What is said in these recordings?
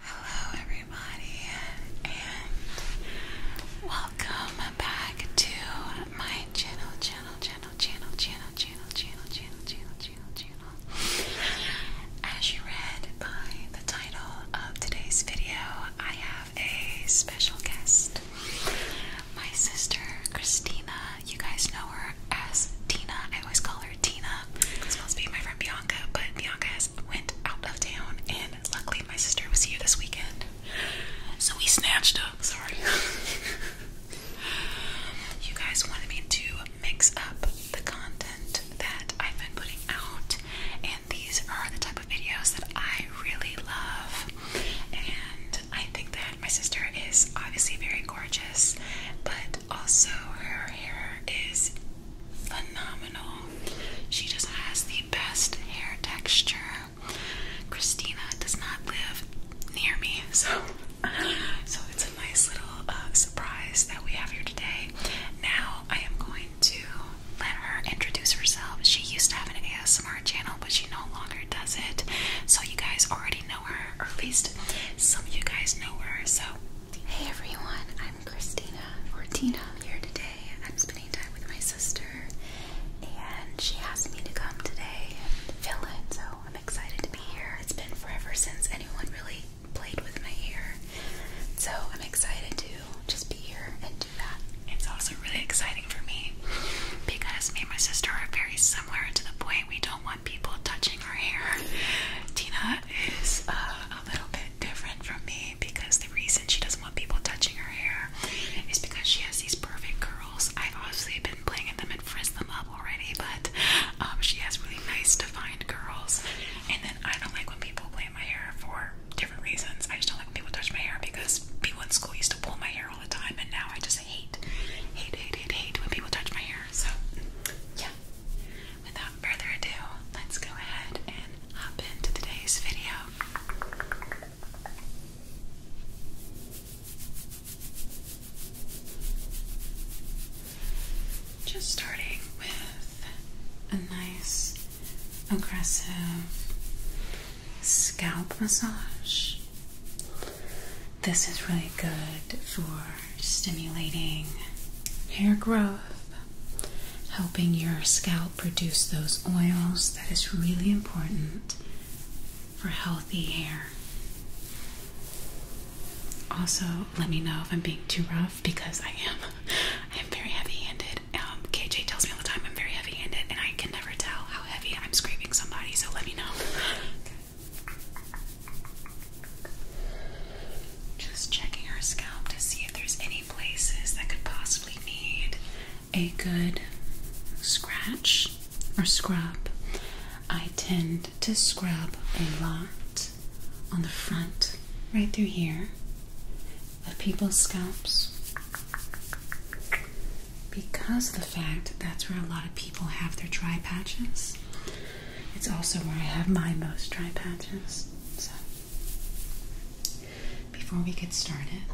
Hello, everybody, and welcome back to my channel, channel, channel, channel, channel, channel, channel, channel, channel, channel, channel. As you read by the title of today's video, I have a special guest. My sister, Christina. You guys know her as Tina. I always call her Tina. It's supposed be my friend Bianca, but Bianca has went out of town, and luckily my sister was here this weekend. So we snatched up. Sorry. you guys wanted me to mix up the content that I've been putting out, and these are the type of videos that I really love. And I think that my sister is obviously very gorgeous, but also her hair is phenomenal. She just has the best hair texture. Christina does not live near me, so so it's a nice little uh, surprise that we have here today. Now I am going to let her introduce herself. She used to have an ASMR channel, but she no longer does it. So you guys already know her, or at least some of you guys know her. So Hey everyone, I'm Christina Fortina here today. I'm spending time with my sister and she asked me to come today and fill in, so I'm excited to be here. It's been forever since anyone really played with my hair, so I'm excited to just be here and do that. It's also really exciting for me because me and my sister are very similar to the point we don't want people touching our hair. Tina is uh, a little bit different from me because the reason she doesn't want people touching her hair is because she has these perfect curls. I've obviously been playing with them and frizzed them up already, but um, she has really nice defined curls. And then I don't like when people play with my hair for different reasons. I just don't like when people touch my hair because people in school used to pull my hair all the time, and now I just hate, hate, hate, hate when people touch my hair. So yeah, without further ado, let's go ahead and hop into today's video. Just starting with a nice aggressive scalp massage. This is really good for stimulating hair growth, helping your scalp produce those oils that is really important for healthy hair. Also, let me know if I'm being too rough because I am. I am very heavy-handed. Um, KJ tells me all the time I'm very heavy-handed, and I can never tell how heavy I'm scraping somebody. So let me know. Just checking her scalp to see if there's any places that could possibly need a good scratch or scrub. I tend to scrub a lot on the front, right through here, of people's scalps because of the fact that's where a lot of people have their dry patches. It's also where I have my most dry patches. So, before we get started,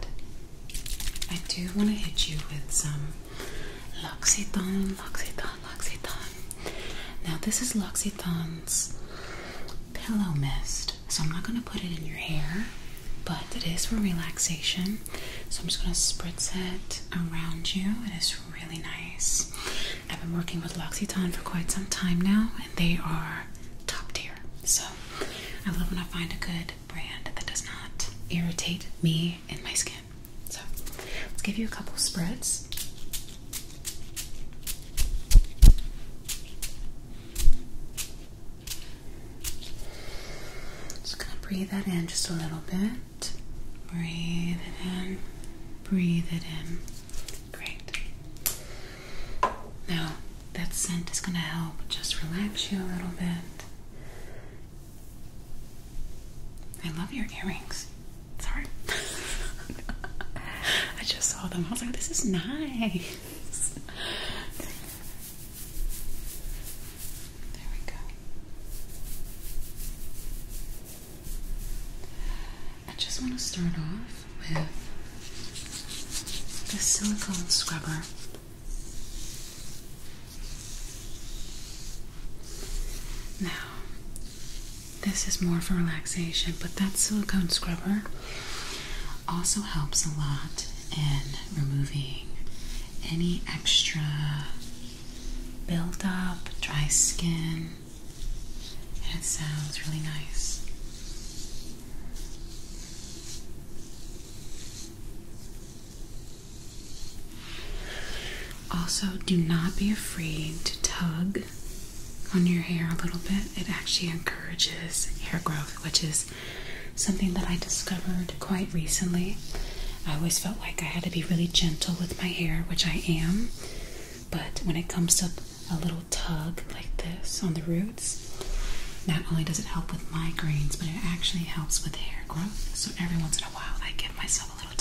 I do want to hit you with some L'Occitane, L'Occitane, L'Occitane. Now, this is L'Occitane's pillow mist, so I'm not going to put it in your hair, but it is for relaxation. So, I'm just going to spritz it around you. It is really nice. I've been working with Loxitan for quite some time now, and they are top tier. So I love when I find a good brand that does not irritate me and my skin. So let's give you a couple spreads. Just gonna breathe that in just a little bit. Breathe it in. Breathe it in. Great. Now, that scent is going to help just relax you a little bit. I love your earrings. Sorry. I just saw them. I was like, this is nice. There we go. I just want to start off with this silicone scrubber. Now, this is more for relaxation, but that silicone scrubber also helps a lot in removing any extra buildup, dry skin, and it sounds really nice. Also, do not be afraid to tug on your hair a little bit. It actually encourages hair growth, which is something that I discovered quite recently. I always felt like I had to be really gentle with my hair, which I am, but when it comes to a little tug like this on the roots, not only does it help with migraines, but it actually helps with hair growth. So every once in a while, I give myself a little tug.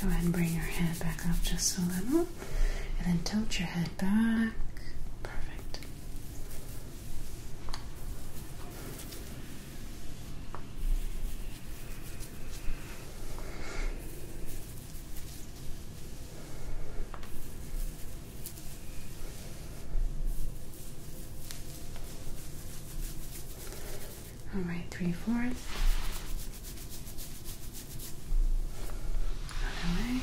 Go ahead and bring your head back up just a little, and then tilt your head back. Perfect. All right, three fourths. Other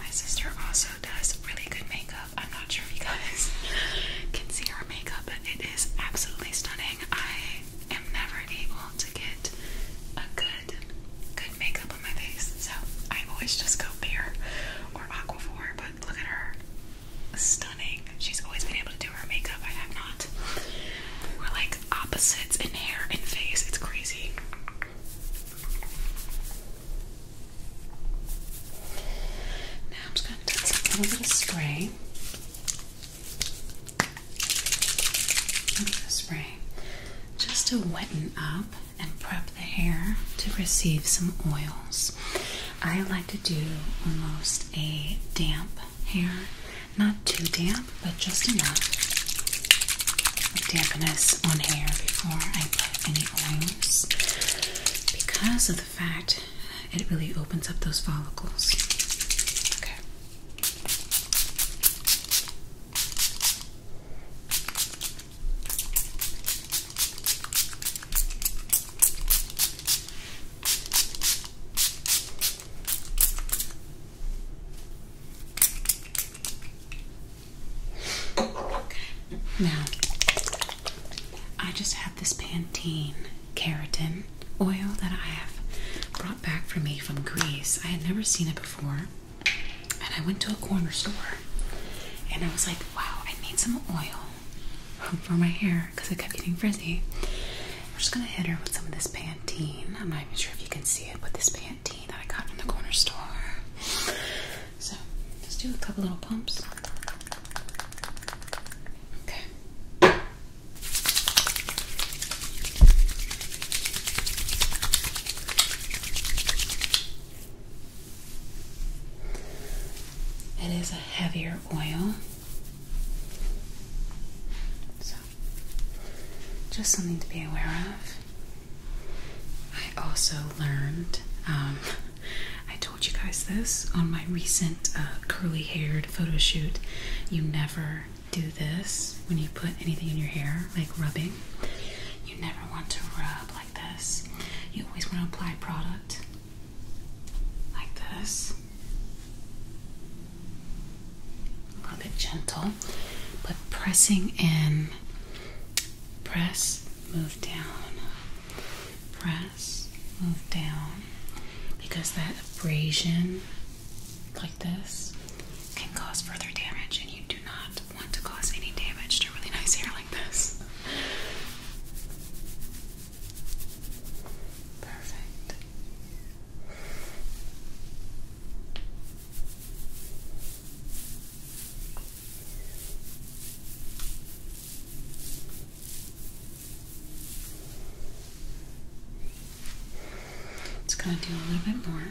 My sister also does really good makeup. I'm not sure if you guys can see her makeup, but it is absolutely stunning. I am never able to get a good good, makeup on my face. So I always just go Bare or Aquaphor, but look at her. Stunning. She's always been able to do her makeup. I have not. We're like opposites in hair and face. It's crazy. Now I'm just going to take a little bit of spray spray just to weten up and prep the hair to receive some oils. I like to do almost a damp hair, not too damp, but just enough dampness on hair before I put any oils because of the fact it really opens up those follicles. Okay. Now, I just have this Pantene keratin oil that I have brought back for me from Greece. I had never seen it before. And I went to a corner store and I was like, wow, I need some oil for my hair because I kept getting frizzy. I'm just going to hit her with some of this Pantene. I'm not even sure if you can see it, but this Pantene that I got from the corner store. So, let's do a couple little pumps. Okay. It is a heavier oil. So, just something to be aware of. I also learned, um, I told you guys this on my recent uh, curly haired photo shoot. You never do this when you put anything in your hair, like rubbing. You never want to rub like this. You always want to apply product like this. A little bit gentle, but pressing in. Press, move down. Press, move down. Because that abrasion like this can cause further damage, and you do not want to cause any damage to really nice hair like this. Perfect. It's gonna do a little bit more.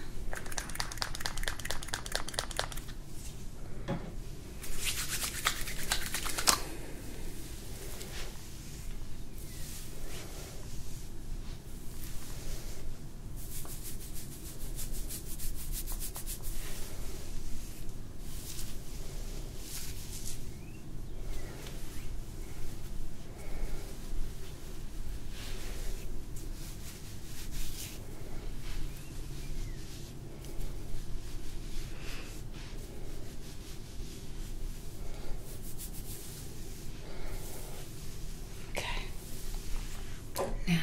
Okay. Now,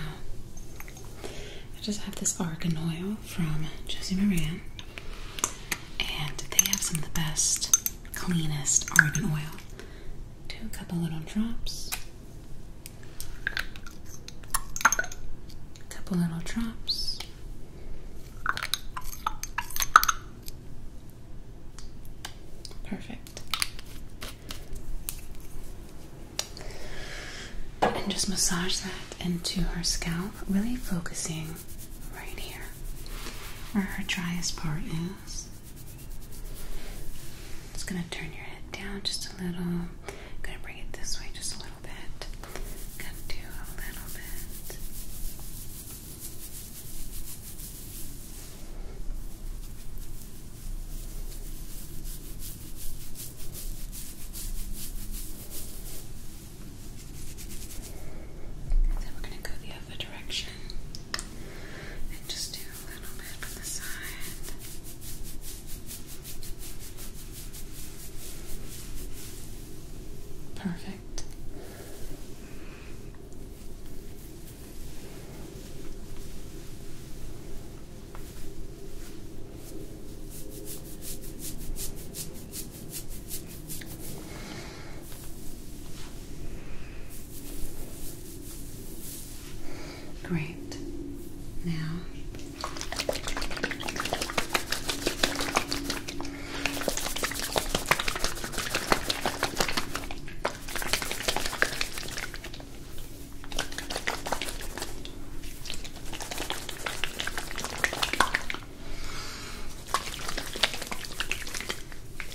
I just have this argan oil from Josie Moran, and they have some of the best, cleanest argan oil do a couple little drops, a couple little drops. Perfect. And just massage that into her scalp, really focusing right here where her driest part is. Just gonna turn your head down just a little. gonna bring it this way just a little bit. Gonna do a little bit. then we're going to go the other direction and just do a little bit from the side. Perfect. Great. Now,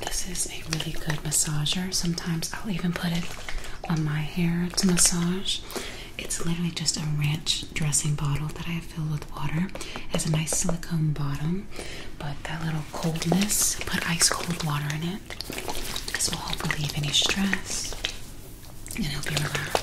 This is a really good massager. Sometimes I'll even put it on my hair to massage. It's literally just a ranch dressing bottle that I have filled with water. It has a nice silicone bottom, but that little coldness, put ice cold water in it. This will help relieve any stress and help you relax.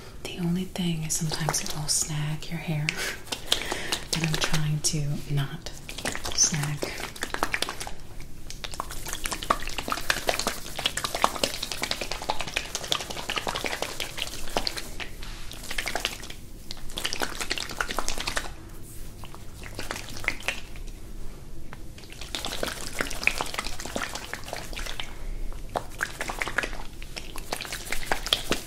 The only thing is sometimes it will snag your hair, and I'm trying to not snag.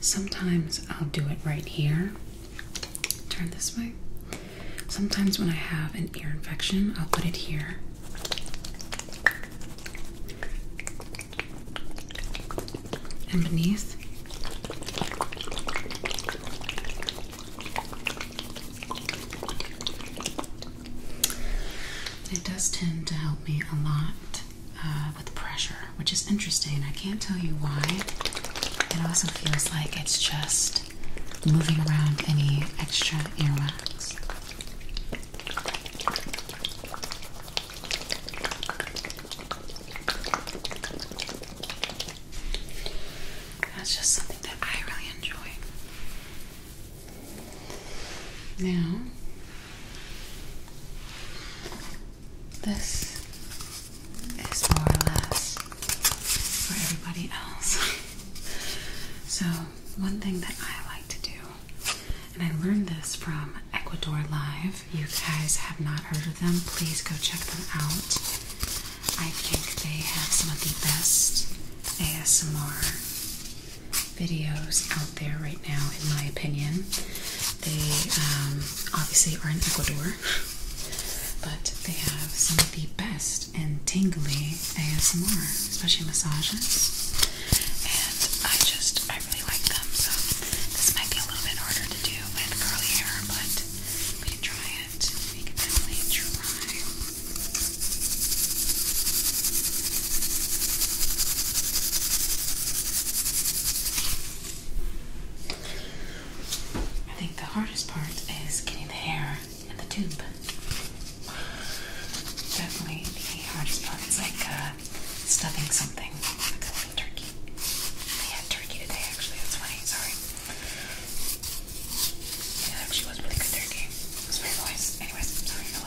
Sometimes I'll do it right here. Turn this way. Sometimes when I have an ear infection, I'll put it here. And beneath. It does tend to help me a lot. Uh, with pressure, which is interesting. I can't tell you why. It also feels like it's just moving around any extra earwax. That's just something that I really enjoy. Now, this is more or less for everybody else. so, one thing that I like to do, and I learned this from Ecuador Live. You guys have not heard of them, please go check them out. I think they have some of the best ASMR videos there right now, in my opinion. They um, obviously are in Ecuador, but they have some of the best and tingly ASMR, especially massages. And I just, I really like them. So this might be a little bit harder to do with curly hair, but we can try it. We can definitely try. I think the hardest part is getting the hair in the tube. Definitely the hardest part. is like uh, stuffing something like a turkey. They had turkey today, actually. That's funny. Sorry. It actually was really good turkey. It was very nice. sorry.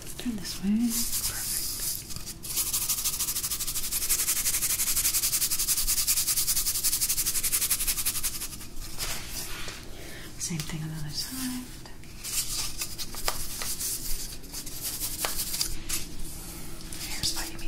Turn this way. Same thing on the other side. Here's by me.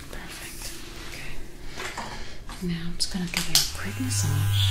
Perfect. Okay. Now I'm just going to give you a quick massage.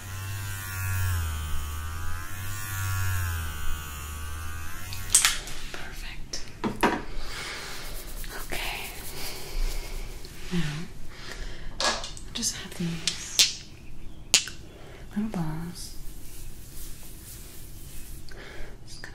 Perfect. Okay. Now, I just have these little balls. Just gonna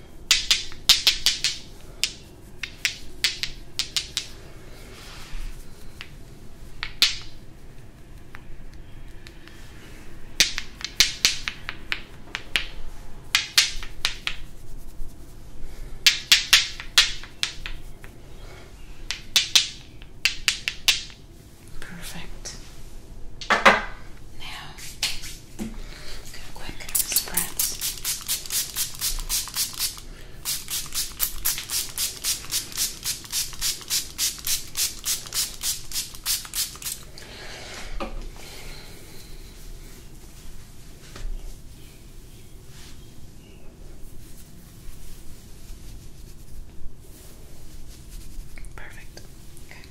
Perfect. Now Good quick spreads. Perfect. Okay.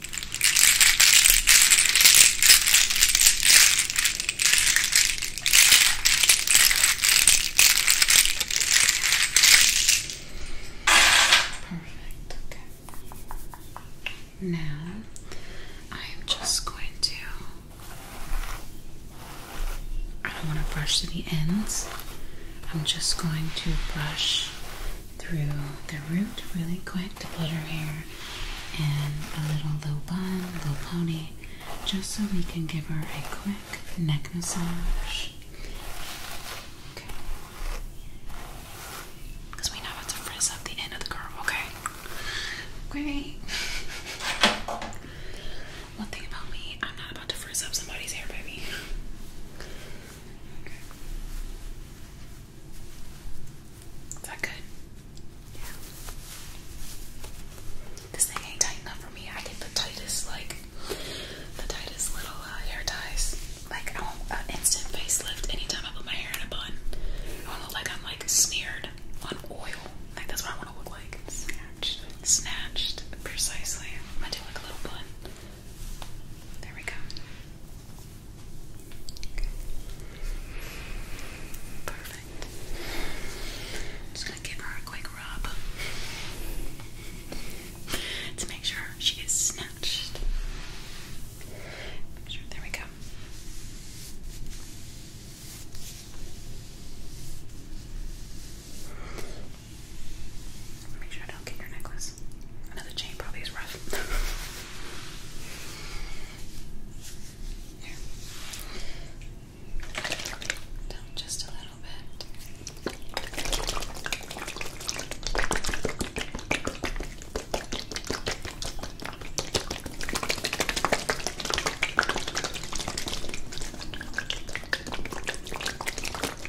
Perfect. Okay. Now I am just going to. I don't want to brush to the ends. I'm just going to brush through the root really quick to put her hair and a little low bun, low pony, just so we can give her a quick neck massage. Okay. Because we know how to frizz up the end of the curve, okay? Great. One thing about me, I'm not about to frizz up somebody's hair, baby. Is that good? Yeah. This thing ain't tight enough for me. I get the tightest, like, the tightest little uh, hair ties. Like, I want an instant facelift anytime I put my hair in a bun. I want to look like I'm, like, smeared on oil. Like, that's what I want to look like. Snatched. Snatched, precisely. I'm going to do, like, a little bun. There we go. Perfect. just gonna give her a quick rub to make sure she gets snatched. there we go. Make sure I don't get your necklace. Another chain probably is rough. just a little bit.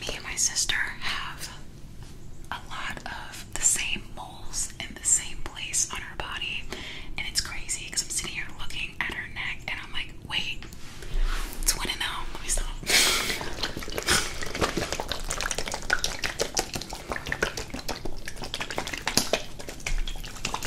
Me and my sister have a lot of the same moles in the same place on her body, and it's crazy because I'm sitting here looking at her neck and I'm like, wait, it's one and now. Oh, Tilt up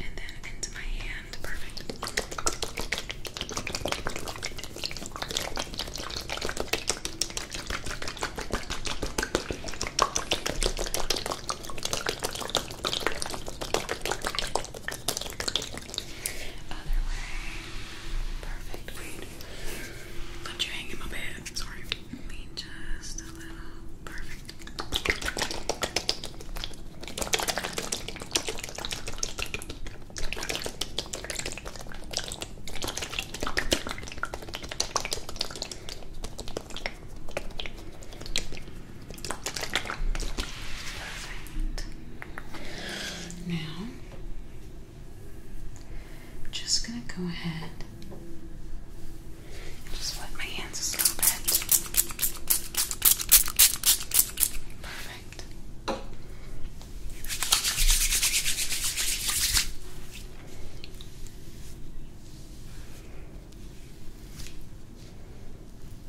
and then into my hand. Perfect. Okay, other way. Perfect. Wait. Got you hanging my bed. Sorry. mean, just a little. Perfect. Now, I'm just going to go ahead and just wet my hands a little bit. Perfect.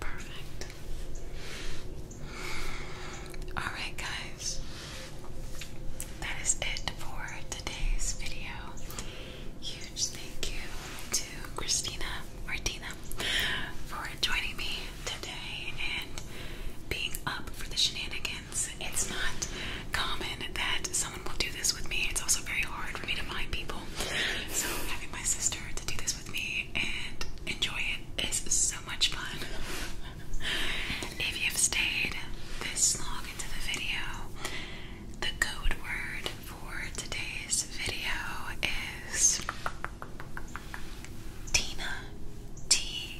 Perfect. All right, guys. That is it for today's video. Huge thank you to Christina Martina for joining me today and being up for the shenanigans. It's not common that someone will do this with me. It's also very hard for me to find people. So having my sister to do this with me and enjoy it is so much fun. if you've stayed this long into the video, the code word for today's video is Tina T